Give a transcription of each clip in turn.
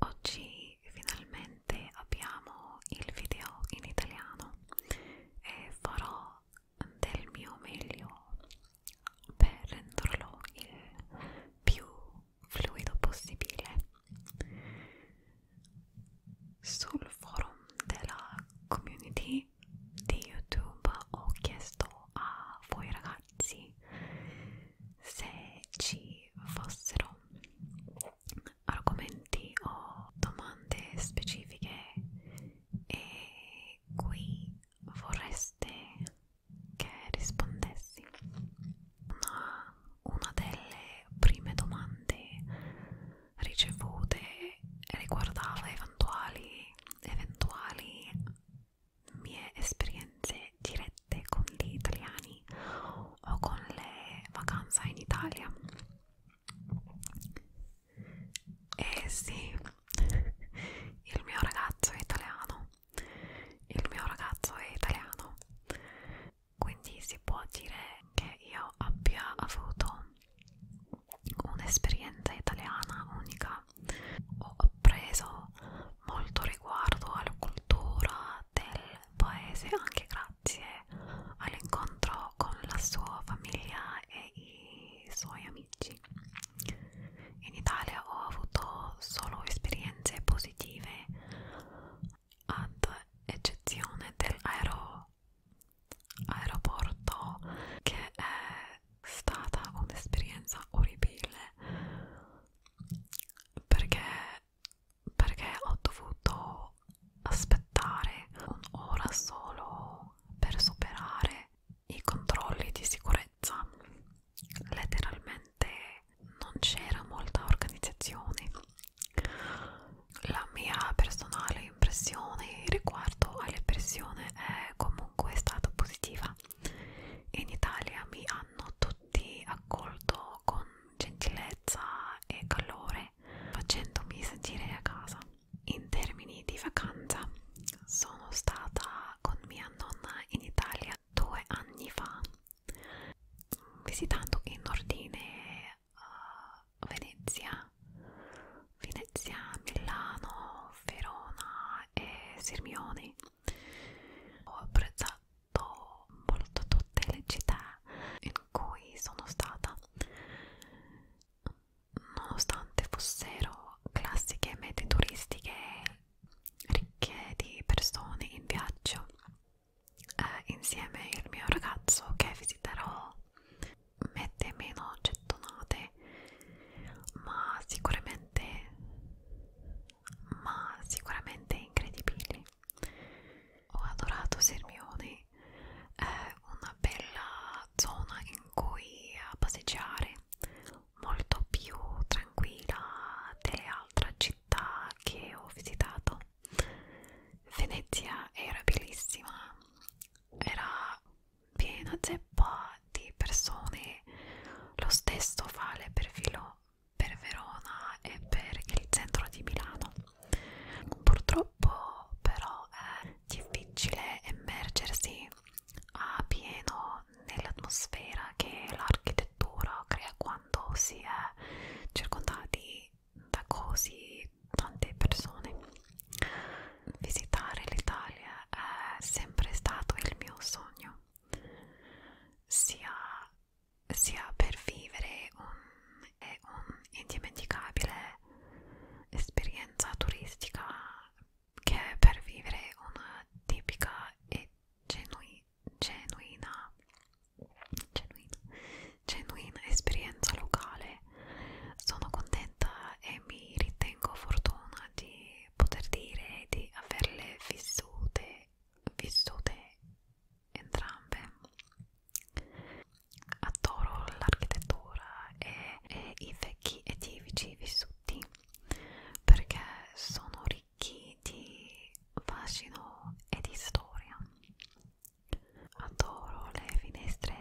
Oggi finalmente abbiamo il video in italiano e farò del mio meglio per renderlo il più fluido possibile. Sul forum della community di YouTube ho chiesto a voi ragazzi ragazzi se ci fossero argomenti o domande specifiche e qui vorreste che rispondessi una, una delle prime domande ricevute riguardava eventuali eventuali mie esperienze dirette con gli italiani o con le vacanze in Italia eh sì il mio ragazzo è italiano il mio ragazzo è italiano quindi si può dire che io abbia avuto un'esperienza italiana unica ho preso molto riguardo alla cultura del paese anche grazie all'incontro con la sua famiglia e i suoi amici. In Italia ho avuto solo esperienze positive ad eccezione dell'aeroporto aeroporto che è stata un'esperienza orribile perché, perché ho dovuto aspettare un'ora solo per superare i controlli di sicurezza letteralmente non c'era molta organizzazione la mia personale impressione riguardo alle persone è comunque stata positiva in Italia mi hanno tutti tutti, accolto con gentilezza e calore, facendomi sentire a casa. In termini di vacanza, sono stata con mia nonna in Italia due anni fa, visitando in ordine uh, Venezia, Venezia, Milano, Verona e Sirmione ho apprezzato molto tutte le città in cui sono stata nonostante fossero classiche mete turistiche ricche di persone in viaggio eh, insieme al mio ragazzo che visiterò mette meno gettonate ma sicuramente ma sicuramente incredibili. Ho adorato Sermione, è eh, una bella zona in cui eh, passeggiare, molto più tranquilla delle altre città che ho visitato. Venezia era bellissima, era piena zeppa di persone, lo stesso vale per Filo, per Verona e per il centro di Milano. Purtroppo però è difficile immergersi a pieno nell'atmosfera che l'architettura crea quando si è circondati da così tante persone. Visitare l'Italia è sempre stato il mio sogno sia, sia per vivere un, è un'indimenticabile esperienza turistica che per vivere una tipica e genui, genuina, genuina, genuina esperienza locale. Sono contenta e mi ritengo fortuna di poter dire di averle vissute, vissute entrambe. Adoro l'architettura e, e i vecchi edifici vissuti perché sono ricchi di fascino e di storia. Adoro le finestre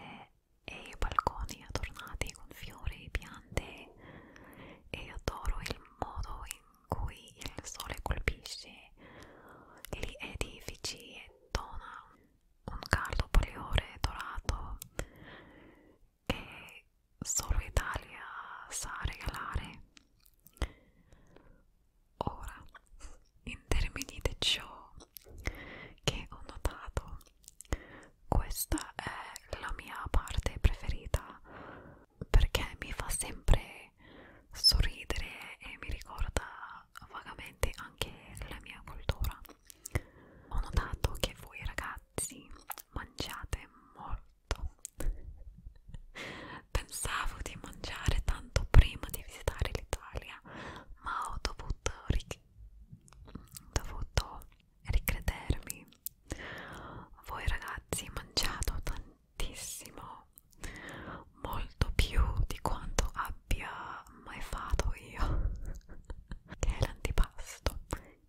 e i balconi adornati con fiori, piante e io adoro il modo in cui il sole colpisce gli edifici e dona un caldo poliore dorato che solo Italia sa regalare. Ora, in termini di ciò che ho notato, questa è la mia parte preferita perché mi fa sempre sorridere e mi ricorda vagamente anche la mia cultura ho notato che voi ragazzi mangiate molto pensavo di mangiare tanto prima di visitare l'Italia ma ho dovuto, dovuto ricredermi voi ragazzi mangiato tantissimo molto più di quanto abbia mai fatto io che è l'antipasto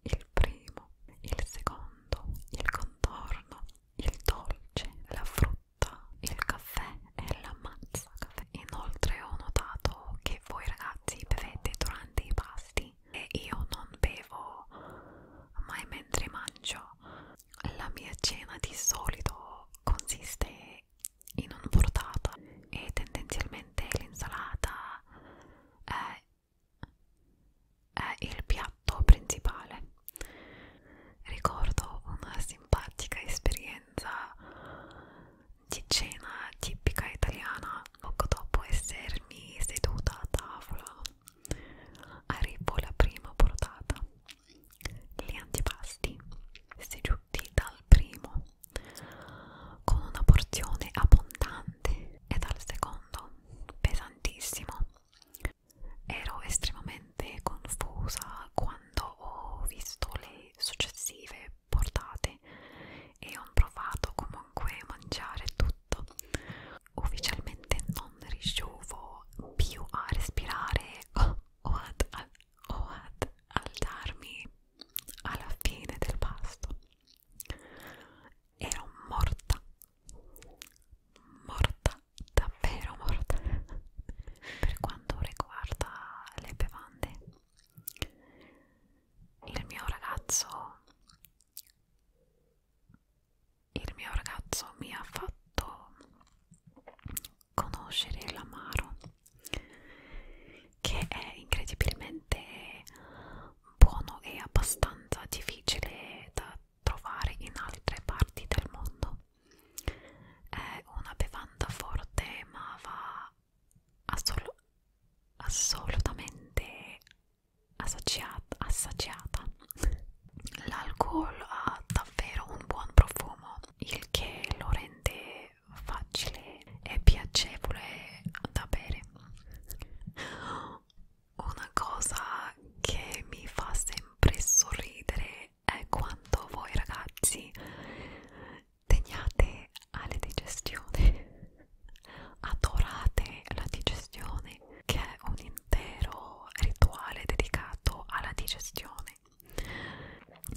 il primo il secondo il contorno il dolce la frutta il caffè e la mazza caffè inoltre ho notato che voi ragazzi bevete durante i pasti anni e io non bevo mai mentre mangio. La mia cena di solito consiste in un portata e tendenzialmente l'insalata è, è il piatto principale. Ricordo una simpatica esperienza di cena tipica italiana poco dopo essermi seduta a tavola arrivo la prima portata gli antipasti seduti dal primo con una porzione abbondante e dal secondo pesantissimo ero estremamente confusa quando ho visto le successive portate e ho provato comunque a mangiare tutto ufficialmente non riuscivo più a respirare o, o, ad, al, o ad alzarmi alla fine del pasto ero morta morta davvero morta per quanto riguarda le bevande il mio ragazzo il mio ragazzo mi ha fatto conoscere l'amaro che è incredibilmente buono e abbastanza difficile da trovare in altre parti del mondo è una bevanda forte ma va assol assolutamente assaciata, assaciata. L'alcol ha davvero un buon profumo, il che lo rende facile e piacevole da bere. Una cosa che mi fa sempre sorridere è quando voi ragazzi teniate alle digestioni adorate la digestione, che è un intero rituale dedicato alla digestione.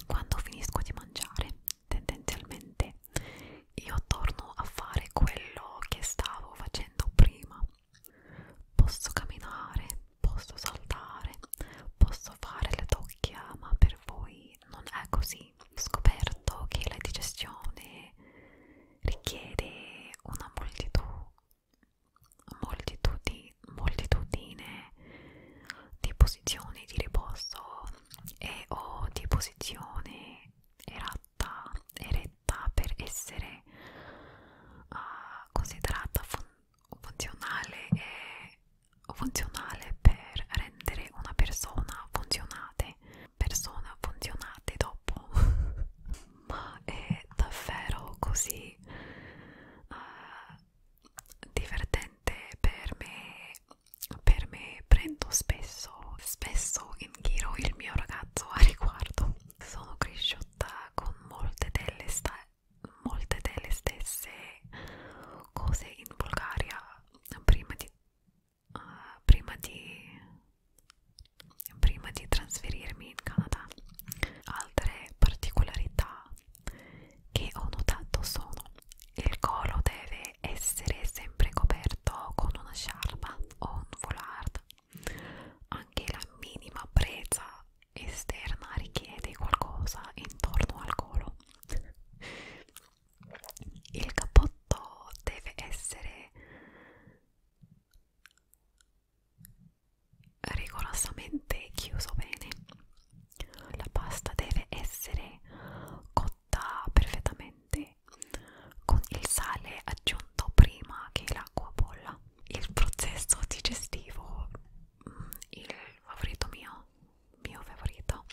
Quando finisco di mangiare, tendenzialmente io torno a fare quello che stavo facendo prima. Posso camminare, posso saltare, posso fare le tocchia, ma per voi non è così poi scoperto che la digestione richiede una moltitudine, moltitudine, moltitudine di posizioni di riposo e o di posizione eratta, eretta per essere uh, considerata fun funzionale e funzionale per rendere una persona funzionale persona funzionate dopo ma è davvero così uh, divertente per me per me prendo spesso spesso in giro il mio ragazzo a riguardo sono cresciuta con molte delle, molte delle stesse cose in Bulgaria prima di uh, prima di prima di trasferirmi in Canada altre particolarità che ho notato sono il collo deve essere sempre coperto con una sciarpa o un foulard anche la minima presa esterna richiede qualcosa intorno al collo il cappotto deve essere rigorosamente chiuso bene la pasta deve essere cotta perfettamente con il sale aggiunto prima che l'acqua bolla il processo digestivo mm, il favorito mio mio favorito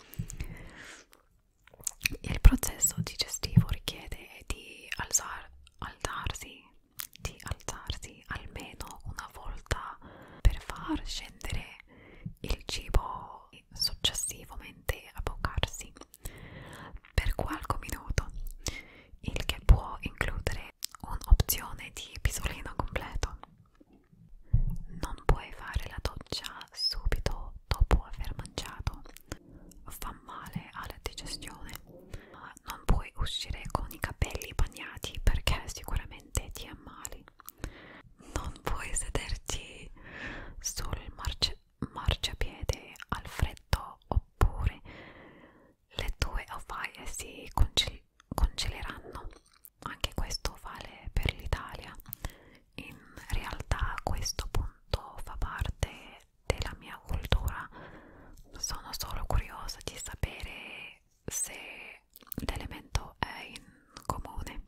il processo digestivo richiede di alzar, alzarsi, di alzarsi almeno una volta per far scendere il cibo e successivamente avvocarsi per qualche minuto, il che può includere un'opzione di pisolino completo. Non puoi fare la doccia subito dopo aver mangiato fa male alla digestione non puoi uscire con i capelli bagnati perché sicuramente ti ammali non puoi sederti sul marci marciapiede al freddo oppure le tue ovaie si congel congeleranno anche questo vale per l'Italia in realtà questo punto fa parte della mia cultura sono solo curiosa di sapere se l'elemento è in comune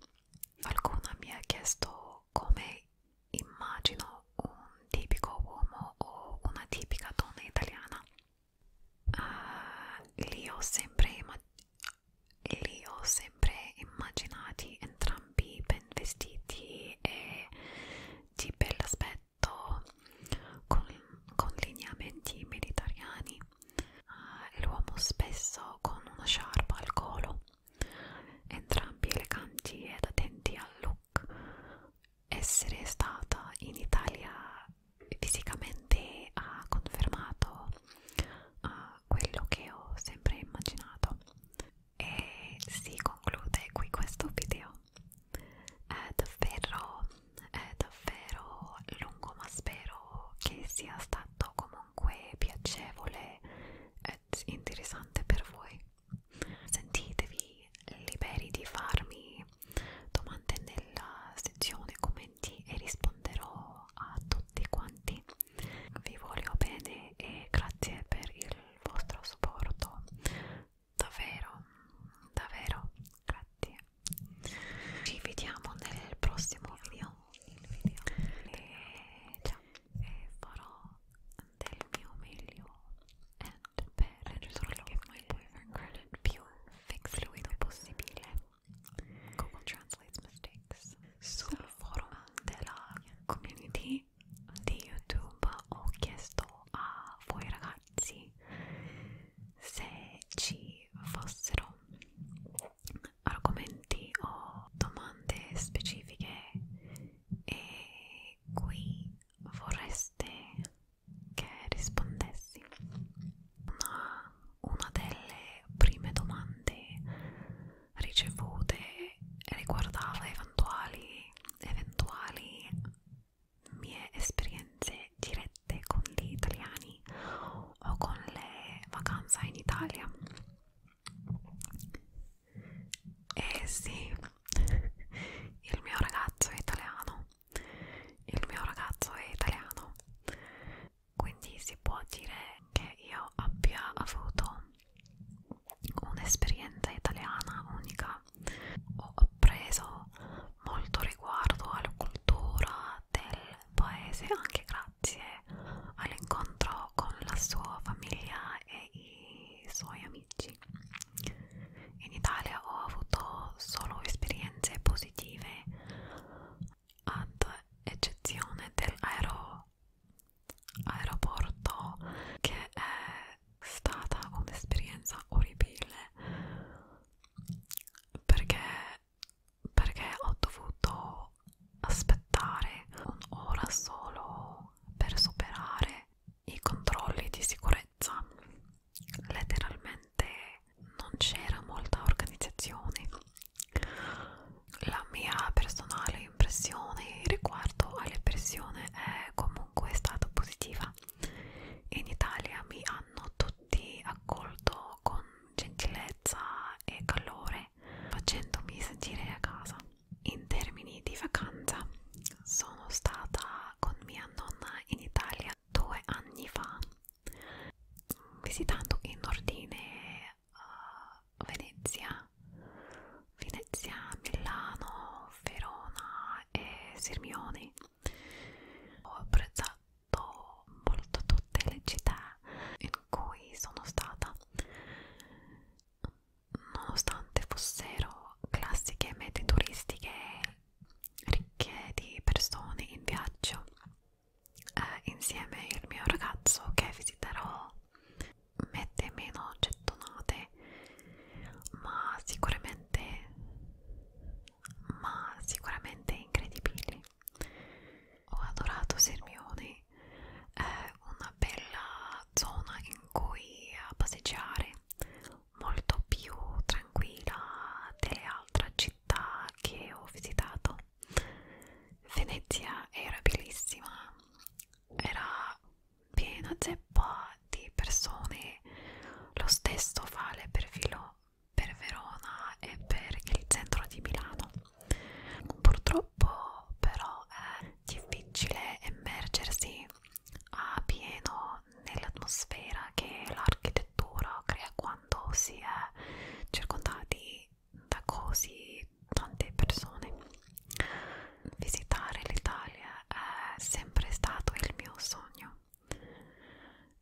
qualcuno mi ha chiesto come immagino un tipico uomo o una tipica donna italiana uh, ah, li ho sempre li ho sempre immaginati entrambi ben vestiti e di bell'aspetto con, con lineamenti mediterranei uh, ah, l'uomo spesso con una sciarpa al collo entrambi eleganti ed attenti al look essere stata in Italia fisicamente ha confermato uh, quello che ho sempre immaginato e si conclude qui questo video è davvero è davvero lungo ma spero che sia stato comunque piacevole e interessante per voi sentitevi liberi di farmi domande nella sezione commenti e risponderò a tutti quanti vi voglio bene e grazie per il vostro supporto davvero davvero grazie ci vediamo nel prossimo video, video. e ciao e farò del mio meglio and per risolvere my boyfriend credit più fix fluido possibile Google translates mistakes sul so, forum della community di YouTube ho chiesto a voi ragazzi se ci fossero argomenti o domande specifiche e qui vorreste che rispondessi una, una delle prime domande ricevute riguardava eventuali, eventuali mie esperienze dirette con gli italiani o con le vacanze in Italia e sì il mio ragazzo è italiano il mio ragazzo è italiano quindi si può dire che io abbia avuto un'esperienza italiana unica ho appreso molto riguardo alla cultura del paese anche grazie all'incontro con la sua famiglia e i suoi amici in Italia ho avuto solo esperienze positive ad eccezione dell'aero aeroporto che è stata un'esperienza orribile perché, perché ho dovuto aspettare un'ora solo per superare i controlli di sicurezza letteralmente non c'era molta organizzazione la mia personale impressione riguardo alle persone è comunque stata positiva. In Italia mi hanno tutti accolto con gentilezza e calore, facendomi sentire a casa. In termini di vacanza, sono stata con mia nonna in Italia due anni fa, visitando in ordine uh, Venezia, Venezia, Milano, Verona e Sirmione. Ho apprezzato molto tutte le città in cui sono stata, nonostante fossero classiche mete turistiche ricche di persone in viaggio eh, insieme il mio ragazzo che visiterò mette meno gettonate ma sicuramente ma sicuramente incredibili ho adorato Sirmione è una bella zona in cui eh, passeggiare molto più tranquilla delle altre città che ho visitato Venezia era bellissima, era piena zeppa di persone, lo stesso vale per Filo, per Verona e per il centro di Milano. Purtroppo però è difficile immergersi a pieno nell'atmosfera che l'architettura crea quando si è circondati da così tante persone. Visitare l'Italia è sempre stato il mio sogno,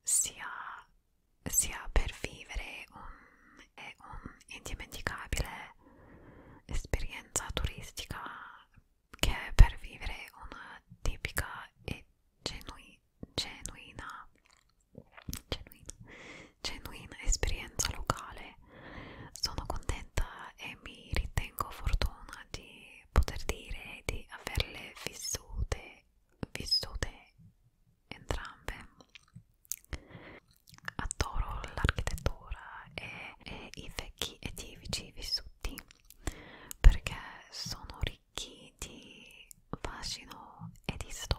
sia, sia per vivere un'indimenticabile un esperienza turistica che per vivere una tipica e genu genuina genuina, genuina esperienza locale. Sono contenta e mi ritengo fortuna di poter dire di averle vissute, vissute entrambe. Adoro l'architettura e, e i vecchi edifici vissuti perché sono ricchi di fascino e di storia.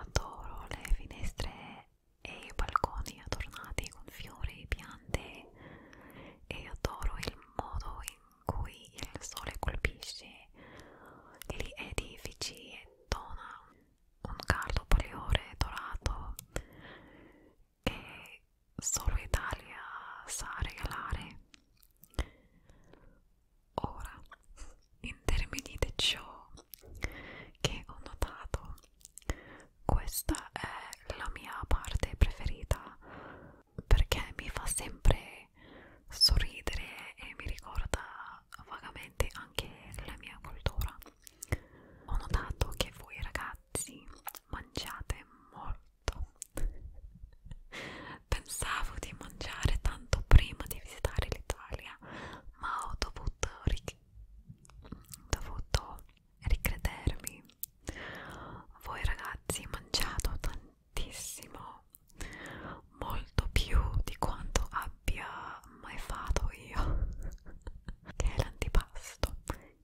Adoro le finestre e i balconi adornati con fiori, piante e adoro il modo in cui il sole colpisce gli edifici e dona un caldo poliore dorato che solo Italia sa regalare. Ora, in termini di ciò che ho notato, questa è la mia parte preferita perché mi fa sempre sorridere e mi ricorda vagamente anche la mia cultura. Ho notato che voi ragazzi mangiate molto Pensavo di mangiare tanto prima di visitare l'Italia, ma ho dovuto, ric dovuto ricredermi. Voi ragazzi mangiato tantissimo, molto più di quanto abbia mai fatto io, che è l'antipasto,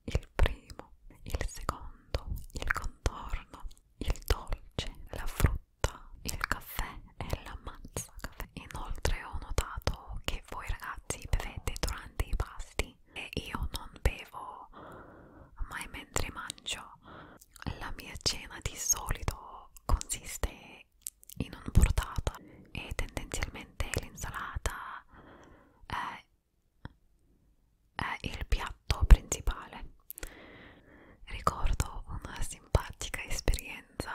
il primo, il secondo, il contorno, il dolce, la frutta frutta, il caffè e l'ammazza caffè. Inoltre ho notato che voi ragazzi bevete durante i pasti e io non bevo mai mentre mangio. La mia cena di solito consiste in un portata e tendenzialmente l'insalata è, è il piatto principale Ricordo una simpatica esperienza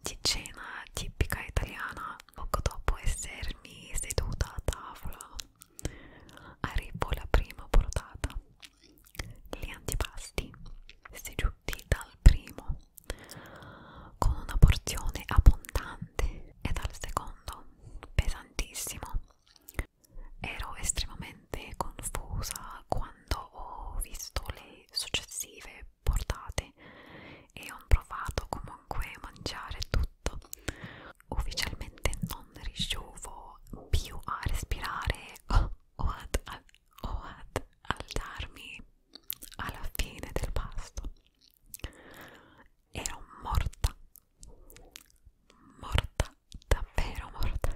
di cena tipica italiana poco dopo essermi seduta a tavola arrivo la prima portata gli antipasti seduti dal primo con una porzione abbondante e dal secondo pesantissimo Ero estremamente confusa quando ho visto le successive portate e ho provato comunque a mangiare tutto. Ufficialmente non riuscivo più a respirare o, o, ad, a, o ad alzarmi alla fine del pasto. Ero morta, morta davvero morta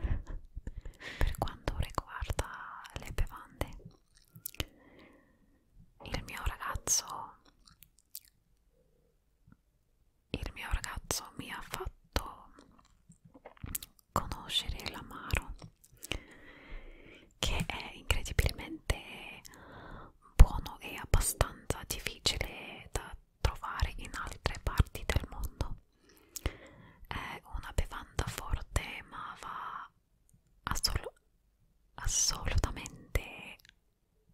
per quanto riguarda le bevande il mio ragazzo il mio ragazzo mi ha fatto conoscere l'amaro che è incredibilmente buono e abbastanza difficile da trovare in altre parti del mondo è una bevanda forte ma va assol assolutamente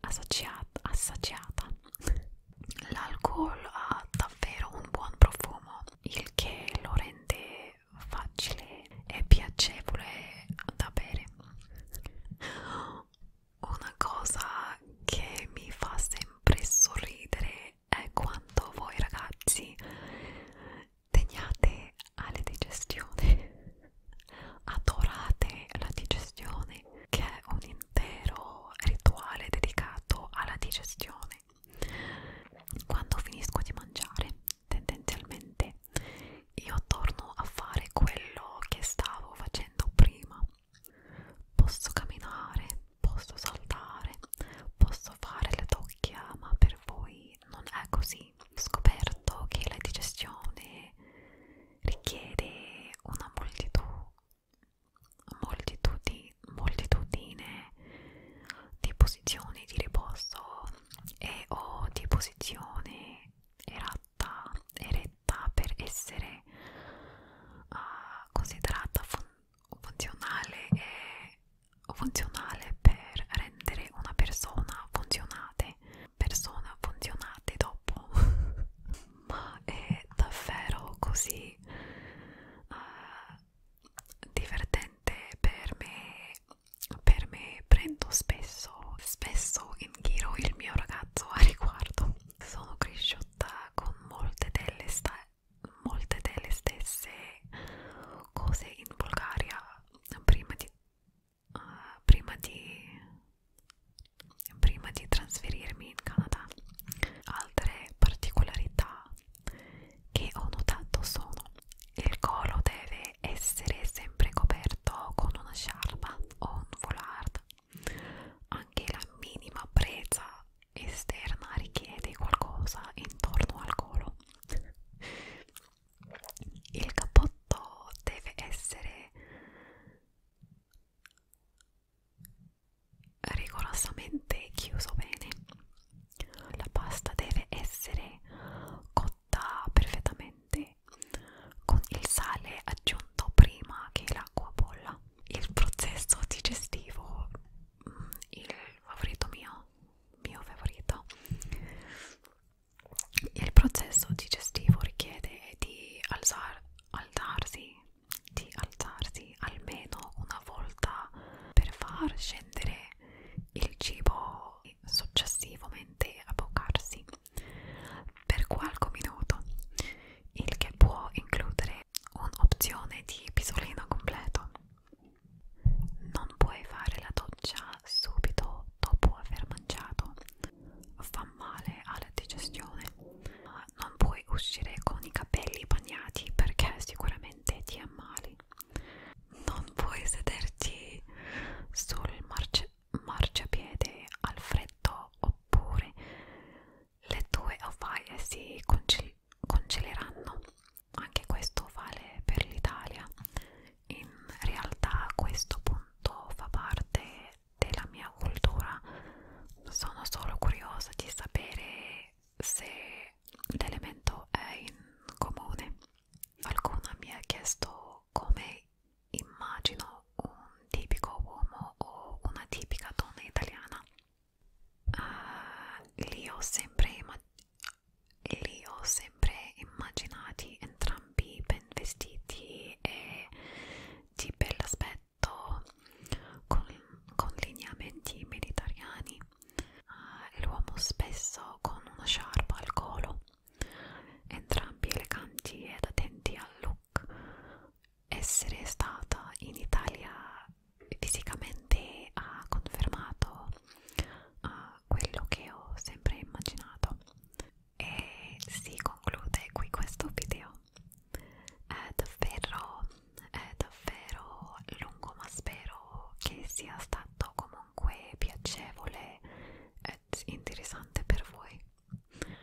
assaggiata. L'alcol ha davvero un buon profumo, il che lo rende facile e piacevole da bere. Una cosa che mi fa sempre sorridere è quanto voi ragazzi teniate alle digestioni adorate la digestione che è un intero rituale dedicato alla digestione quando finisco di mangiare tendenzialmente io torno a fare quello che stavo facendo prima Posso camminare, posso saltare, posso fare le tocchia, ma per voi non è così. Ho scoperto che la digestione richiede una moltitudine, moltitudine, moltitudine di posizioni di riposo e o di posizione eratta, eretta per essere uh, considerata fondamentale funzionale è funzionale per rendere una persona funzionate, persona funzionate dopo, ma è davvero così uh, divertente per me, per me prendo spesso, spesso in giro il mio ragazzo a riguardo, sono cresciuta con molte delle sta molte delle stesse cose in Bulgaria prima di, uh, prima di, prima di trasferirmi in Canada. Altre particolarità che ho notato sono il collo deve essere sempre coperto con una sciarpa o un foulard, anche la minima presa esterna richiede qualcosa intorno al collo. Il cappotto deve essere rigorosamente chiuso bene. La pasta deve essere cotta perfettamente con il sale aggiunto prima che l'acqua bolla il processo digestivo mm, il favorito mio mio favorito il processo digestivo richiede di alzar, alzarsi di alzarsi almeno una volta per far scendere il cibo e successivamente aboccarsi per qualche minuto il che può includere anche un'opzione di pisolino completo. Non puoi fare la doccia subito dopo aver mangiato, fa male alla digestione. Non puoi uscire con i capelli bagnati perché sicuramente ti ammali. Non puoi sederti sul marci marciapiede al freddo oppure le due ovaie si congel congeleranno anche questo vale per l'Italia in realtà questo punto fa parte della mia cultura sono solo curiosa di sapere se l'elemento è in comune qualcuno mi ha chiesto come immagino un tipico uomo o una tipica donna italiana uh, li, ho sempre li ho sempre immaginati entrambi ben vestiti e di bell'aspetto con, con lineamenti mediterranei uh, ah, l'uomo spesso con una sciarpa al collo entrambi eleganti ed attenti al look shock essere stata in Italia fisicamente ha confermato uh, quello che ho sempre immaginato e si conclude qui questo video è davvero è davvero lungo ma spero che sia stato comunque piacevole ed interessante per voi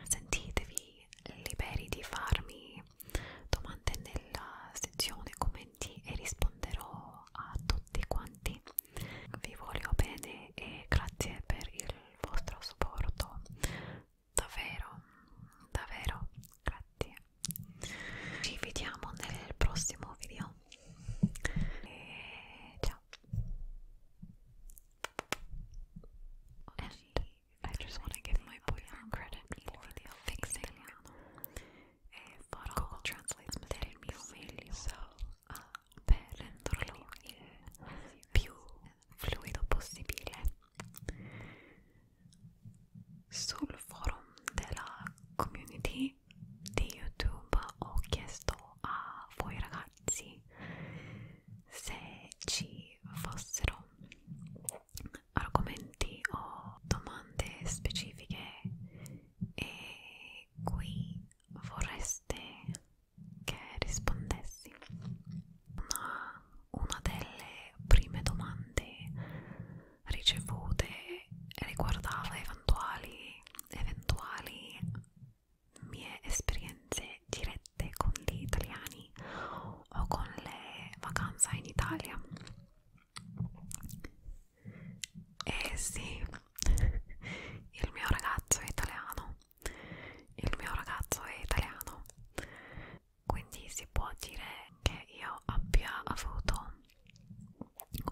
Sentitevi liberi di farmi domande nella sezione commenti e risponderò a tutti quanti. Vi voglio bene e grazie per il vostro supporto. Davvero, davvero, grazie. Ci vediamo nel prossimo video. E ciao. And i ecco, just want to give my boyfriend credit for fixing Google Translate's mistakes, so uh, per renderlo il più fluido possibile. Sul forum della community di YouTube ho chiesto a voi ragazzi se ci fossero argomenti o domande specifiche e qui vorreste che rispondessi. Una, una delle prime domande ricevute riguardava eventuali, eventuali mie esperienze dirette con gli italiani anni o con le vacanze in Italia eh sì il mio ragazzo è italiano il mio ragazzo è italiano quindi si può dire che io abbia avuto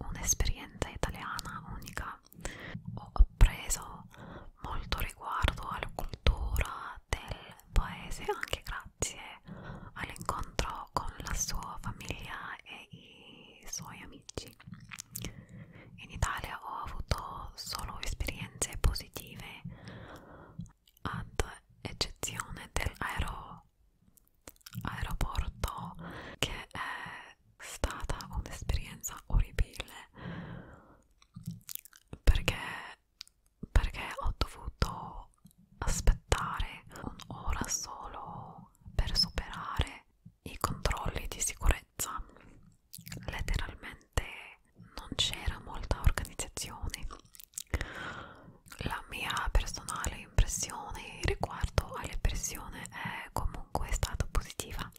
un'esperienza italiana unica ho appreso molto riguardo alla cultura del del paese anche grazie all'incontro con la sua famiglia e i suoi amici. In Italia ho avuto solo esperienze positive, ad eccezione dell'aeroporto aeroporto che è stata un'esperienza orribile perché perché ho dovuto aspettare un'ora solo per superare i controlli di sicurezza letteralmente non c'era molta organizzazione la mia personale impressione riguardo alle persone è comunque stata positiva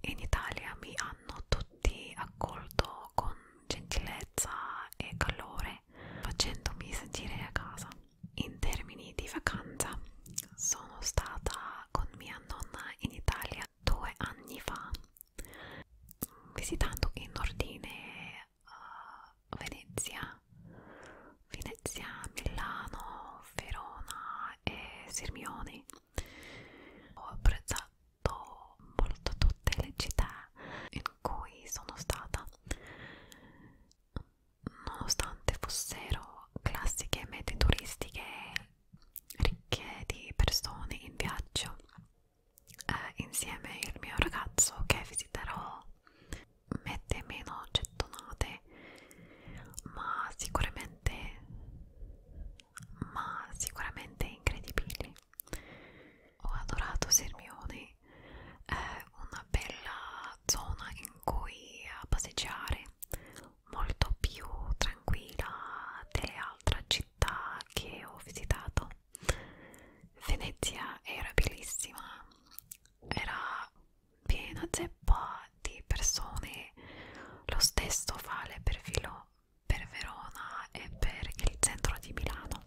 in Italia mi hanno tutti accolto con gentilezza e calore facendomi sentire a casa. In termini di vacanza sono stata con mia nonna in Italia due anni fa visitando in ordine uh, Venezia, Venezia, Milano, Verona e Sirmione. Ho apprezzato molto tutte le città in cui sono stata nonostante fossero classiche mete turistiche ricche di persone in viaggio eh, insieme al mio ragazzo che visiterò mete meno gettonate ma sicuramente ma sicuramente incredibili. Ho adorato Sirmione, è eh, una bella zona in cui eh, passeggiare, molto più tranquilla delle altre città che ho visitato. Venezia era bellissima, era piena zeppa di persone, lo stesso vale per Filo per Verona e per il centro di Milano.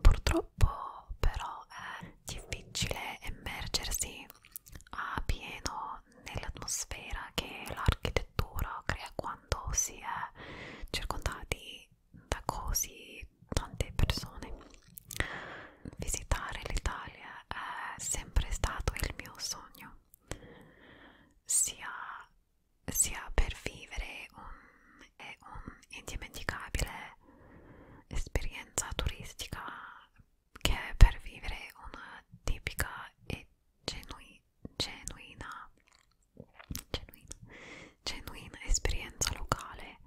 Purtroppo però è difficile immergersi a pieno nell'atmosfera che l'architettura crea quando si è circondati da così tante persone. Visitare l'Italia è sempre stato il mio sogno, sia sia per vivere un, è un'indimenticabile esperienza turistica che per vivere una tipica e genui, genuina, genuina, genuina esperienza locale.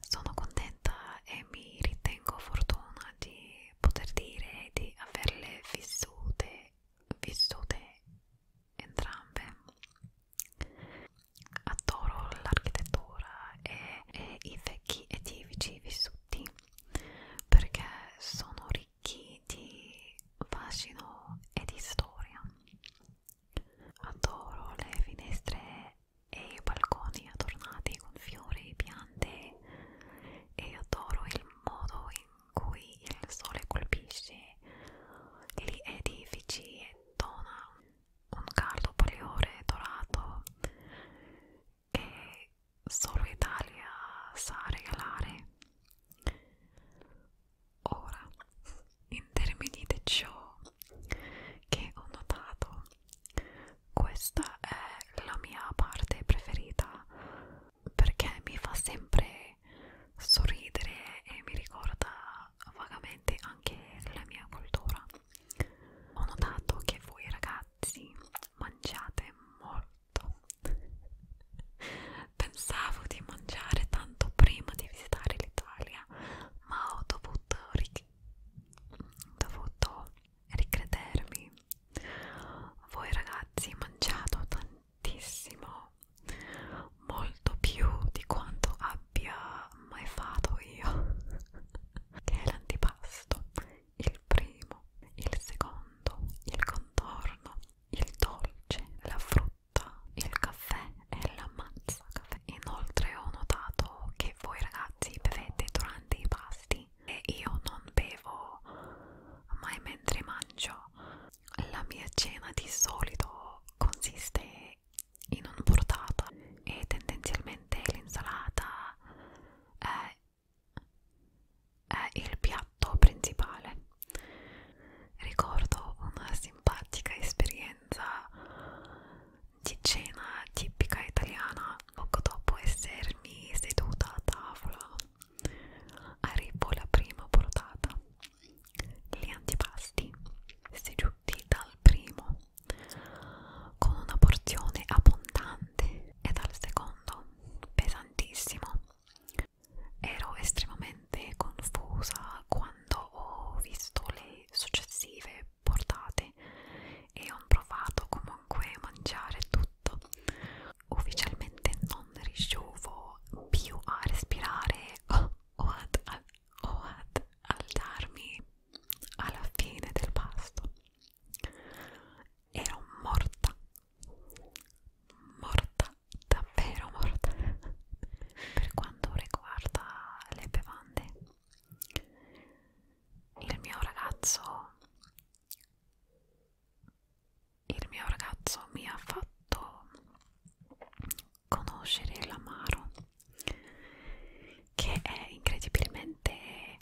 Sono contenta e mi ritengo fortuna di poter dire di averle vissute vissute entrambe. Adoro l'architettura e, e i vecchi edifici vissuti perché sono ricchi di fascino e di storia. Adoro le finestre e i balconi adornati con fiori, piante e adoro il modo in cui il sole colpisce gli edifici e dona un caldo bagliore dorato che solo Italia sa regalare. Ora, in termini di ciò che ho notato, questa è la mia parte preferita perché mi fa sempre sorridere e mi ricorda vagamente anche la mia cultura. Ho notato che voi ragazzi mangiate molto. Pensavo di mangiare tanto prima di visitare l'Italia, ma ho dovuto, ric dovuto ricredermi. Voi ragazzi mangiate tantissimo tantissimo molto più di quanto abbia mai fatto io che è l'antipasto il primo il secondo il contorno il dolce la frutta il caffè e la mazza caffè inoltre ho notato che voi ragazzi bevete durante i pasti anni e io non bevo mai mentre mangio. La mia cena di solito consiste in una portata e tendenzialmente l'insalata è, è il piatto principale. Ricordo una simpatica esperienza di cena tipica italiana poco dopo essermi seduta a tavola arrivò la prima portata. Gli antipasti seduti dal primo, con una porzione abbondante, e dal secondo, pesantissimo. Ero estremamente confusa quando ho visto le successive portate e ho provato comunque a mangiare tutto ufficialmente non riuscivo più a respirare o, o, ad, a, o ad alzarmi alla fine del pasto ero morta morta davvero morta per quanto riguarda le bevande il mio ragazzo il mio ragazzo mi ha fatto conoscere l'amaro che è incredibilmente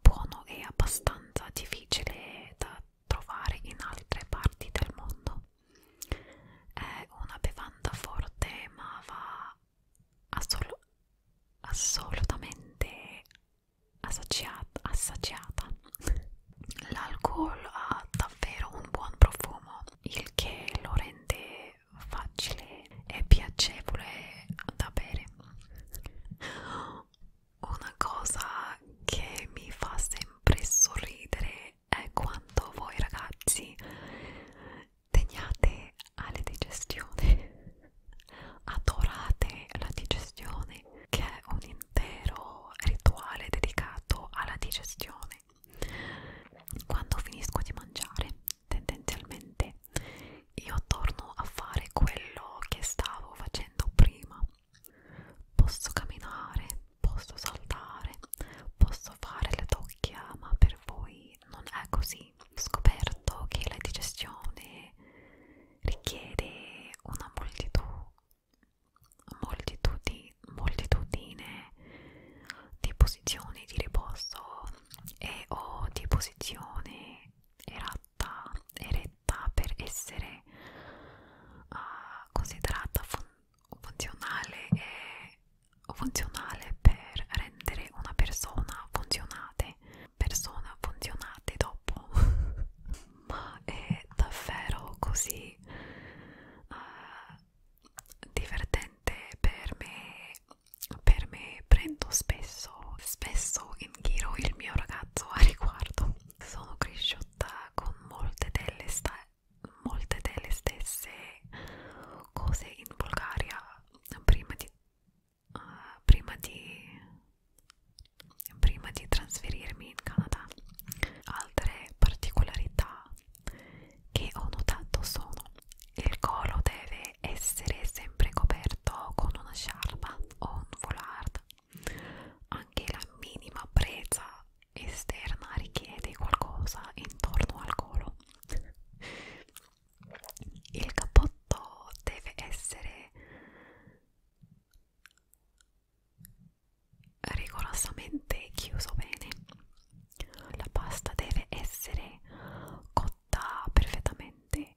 buono e abbastanza difficile da trovare in altre parti del mondo è una bevanda forte ma va assol assolutamente assaggiata. L'alcol ha davvero un buon profumo, il che lo rende facile e piacevole da bere. Una cosa che mi fa sempre sorridere è quando voi ragazzi teniate alle digestioni adorate la digestione che è un intero rituale dedicato alla digestione quando finisco di mangiare tendenzialmente io torno a fare quello che stavo facendo prima posso camminare posso saltare posso fare le tocchia ma per voi non è così ho scoperto che la digestione richiede una moltitudine moltitudine, moltitudine di posizioni di riposo e o di posizione eretta, eretta per essere uh, considerata fun funzionale e funzionale per rendere una persona funzionale persona funzionate dopo ma è davvero così uh, divertente per me per me prendo spesso spesso in giro il mio ragazzo a riguardo sono cresciuta con molte delle sta molte delle stesse cose in Bulgaria prima di uh, prima di prima di trasferirmi in Canada altre particolarità che ho notato sono il collo deve essere sempre coperto con una sciarpa o un foulard anche la minima presa esterna richiede qualcosa intorno al collo il cappotto deve essere rigorosamente chiuso bene la pasta deve essere cotta perfettamente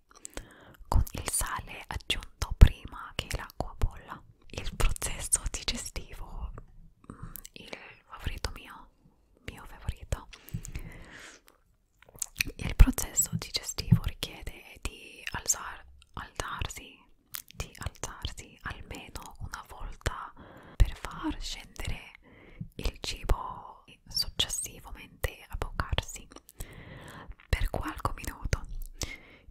con il sale aggiunto prima che l'acqua bolla il processo digestivo mm, il favorito mio mio favorito il processo digestivo richiede di alzar, alzarsi, di alzarsi almeno una volta per far scendere il cibo e successivamente avvocarsi per qualche minuto,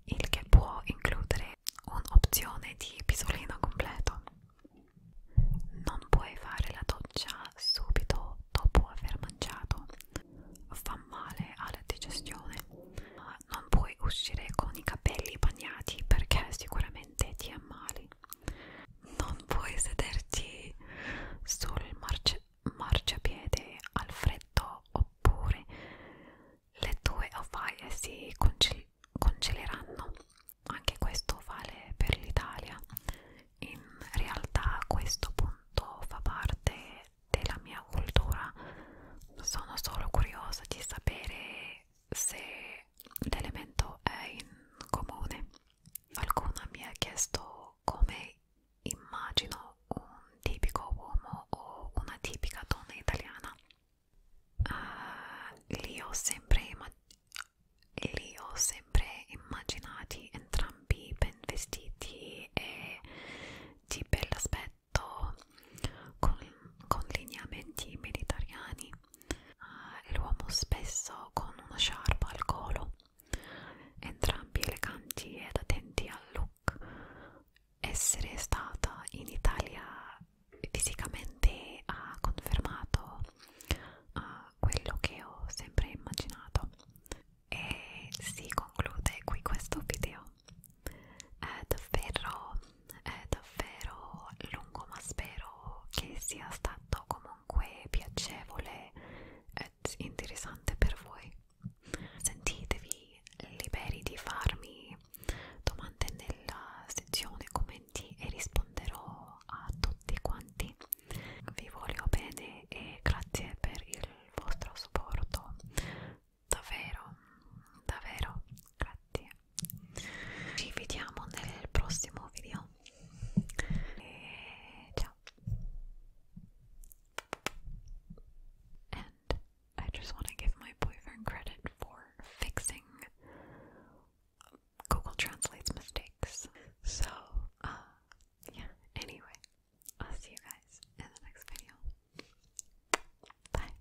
il che può includere un'opzione di pisolino completo. Non puoi fare la doccia subito dopo aver mangiato fa male alla digestione non puoi uscire con i capelli bagnati perché sicuramente ti ammali non puoi sederti sul marci marciapiede al freddo oppure le tue ovaie si congel congeleranno anche questo vale per l'Italia in realtà questo punto fa parte della mia cultura sono solo curiosa di sapere se l'elemento è in comune qualcuno mi ha chiesto come immagino un tipico uomo o una tipica donna italiana uh, li, ho sempre li ho sempre immaginati entrambi ben vestiti è di bell'aspetto con, con lineamenti mediterranei uh, eh, l'uomo spesso con una sciarpa al collo entrambi eleganti ed attenti al look essere stata in Italia fisicamente ha confermato uh, quello che ho sempre immaginato e si conclude qui questo video è davvero è davvero lungo ma spero che sia stato comunque piacevole e interessante per voi sentitevi liberi di farmi domande nella sezione commenti e risponderò a tutti quanti vi voglio bene e grazie per il vostro supporto davvero davvero grazie ci vediamo nel prossimo video e ciao and I just want to give my boyfriend credit for fixing Google Translate's mistakes so uh yeah anyway I'll see you guys in the next video. Bye.